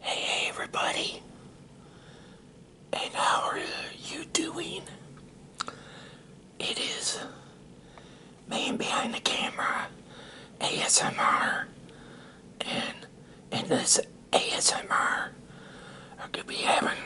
Hey, hey everybody, and how are you doing? It is man behind the camera ASMR, and in this ASMR, I could be having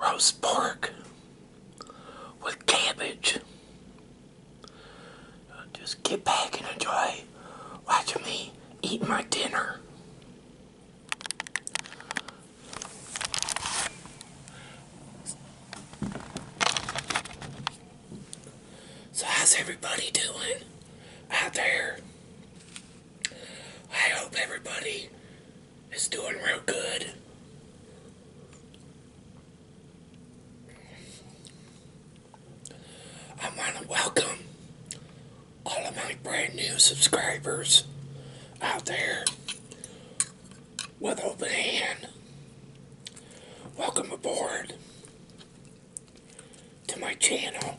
roast pork with cabbage just get back and enjoy watching me eat my dinner. So how's everybody doing out there? I hope everybody is doing real good. I want to welcome all of my brand new subscribers out there with open hand. Welcome aboard to my channel.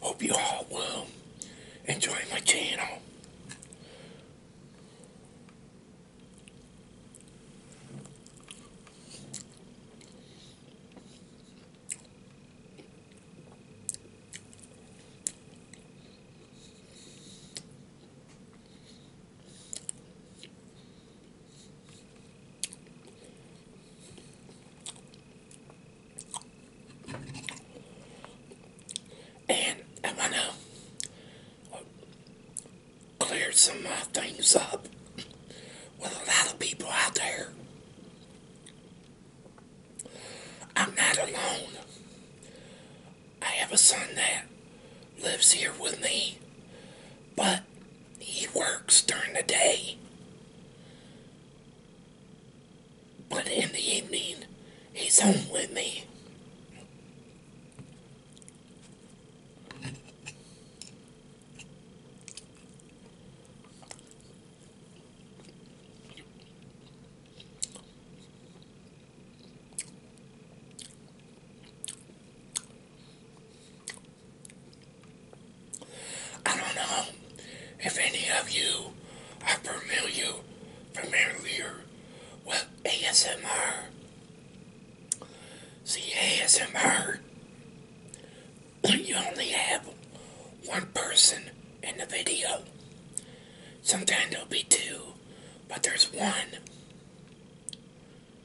Hope you all will um, enjoy my channel. And I want to clear some uh, things up with a lot of people out there. I'm not alone. I have a son that lives here with me, but he works during the day. But in the evening, he's home with me. I don't know if any of you are familiar, familiar with ASMR. See, ASMR, you only have one person in the video. Sometimes there'll be two, but there's one.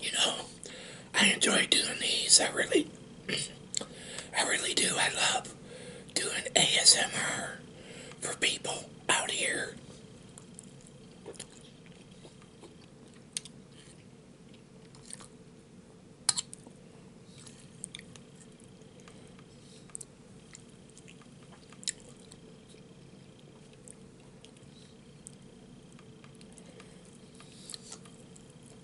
you know, I enjoy doing these. I really, I really do. I love doing ASMR for people out here.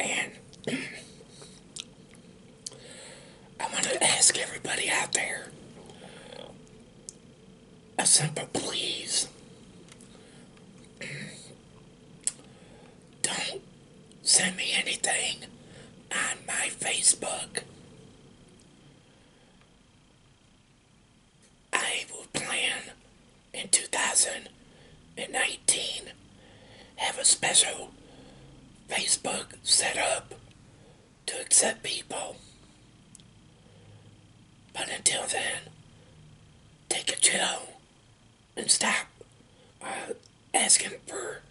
And I want to ask everybody out there a simple please. Don't send me anything on my Facebook. I will plan in 2019 have a special Facebook set up to accept people. But until then, take a chill and stop uh, asking for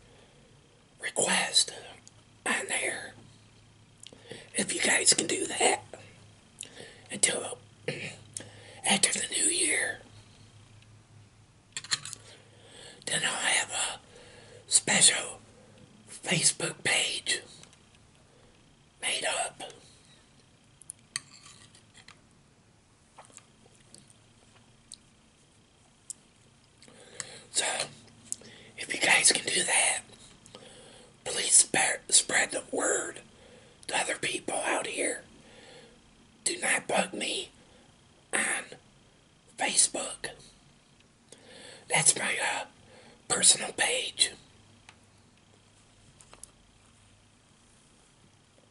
request on there. If you guys can do that until after the new year, then I'll have a special Facebook page made up. So, if you guys can do that, please spread the word to other people out here. Do not bug me on Facebook. That's my uh, personal page.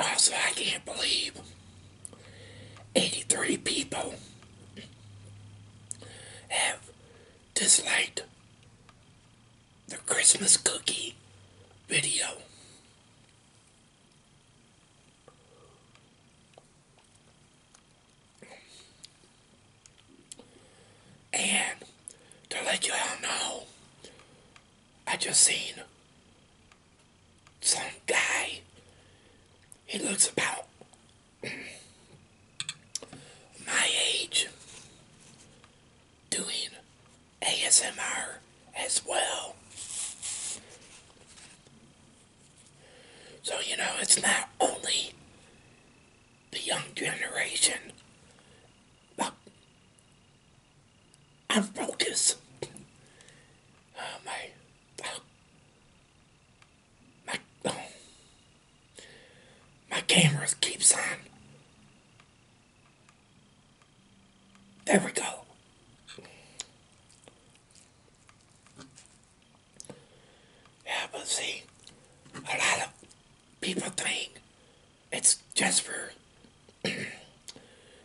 Also, I can't believe 83 people have disliked the Christmas cookie video. And to let you all know, I just seen some guy. He looks about my age doing ASMR as well. So, you know, it's not only the young generation. I'm focused. Oh, my, my, oh, my camera keeps on. There we go. Yeah, but see, a lot of people think it's just for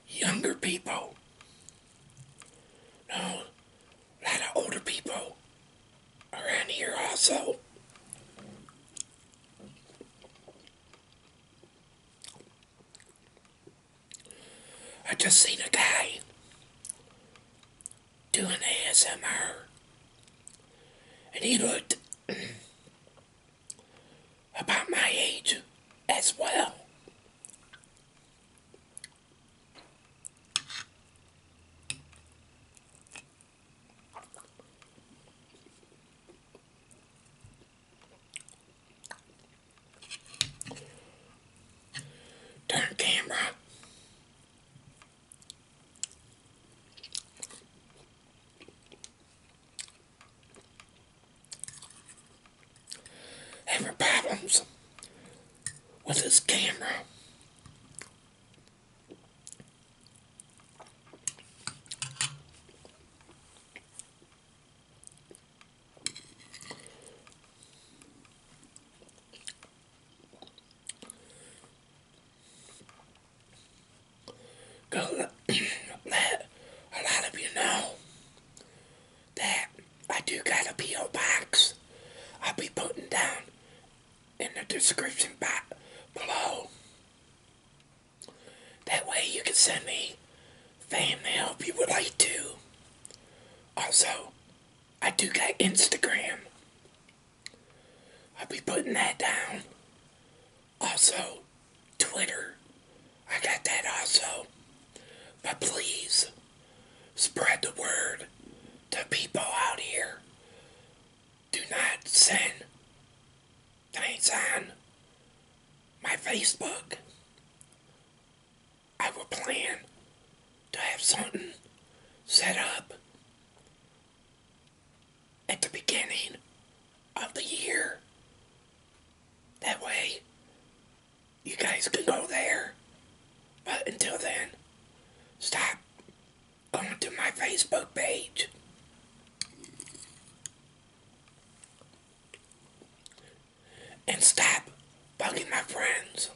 younger people. No, a lot of older people around here also. I just seen a guy doing ASMR and he looked about my age as well. Turn camera having problems with his camera. Cause a lot of you know that I do got a P.O. box. I'll be putting down in the description box below. That way you can send me fan mail if you would like to. Also, I do got Instagram. I'll be putting that down. Also, Twitter. I got that also. But please, spread the word to people out here. Do not send things on my Facebook. I will plan to have something set up at the beginning of the year. That way, you guys can go there. But until then, stop going to my Facebook page. And stop bugging my friends.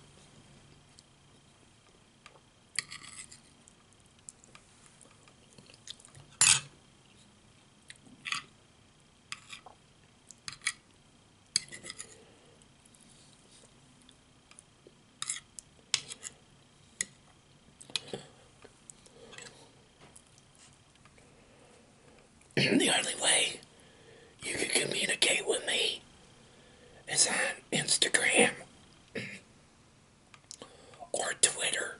the only way you can communicate with me is on Instagram or Twitter.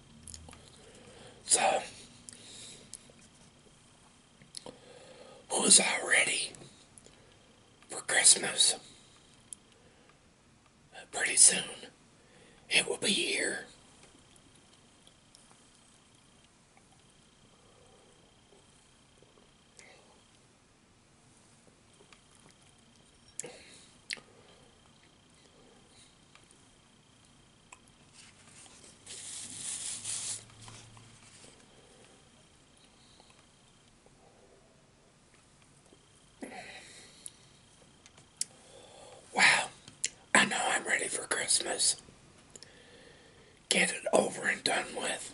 So, who's all ready for Christmas? Pretty soon, it will be here. Wow, I know I'm ready for Christmas. Get it over and done with.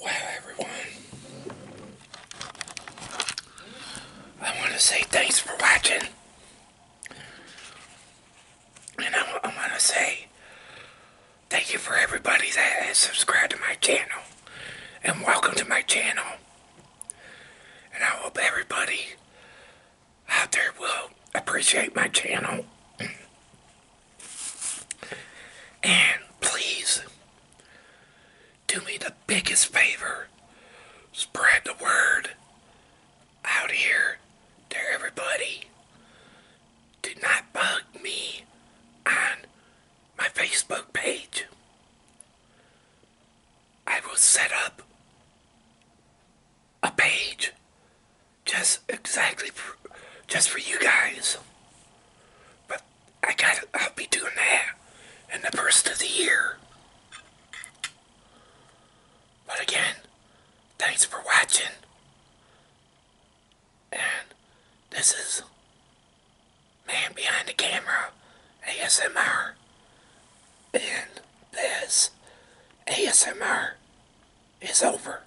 Wow, everyone, I want to say thanks for watching. And I, I want to say thank you for everybody that has subscribed to my channel. And welcome to my channel. And I hope everybody out there will appreciate my channel. And please do me the biggest favor. Spread the word out here to everybody. Do not bug me on my Facebook page. I will set up a page just exactly just for you guys but I got I'll be doing that in the first of the year. But again, thanks for watching. And this is Man Behind the Camera ASMR. And this ASMR is over.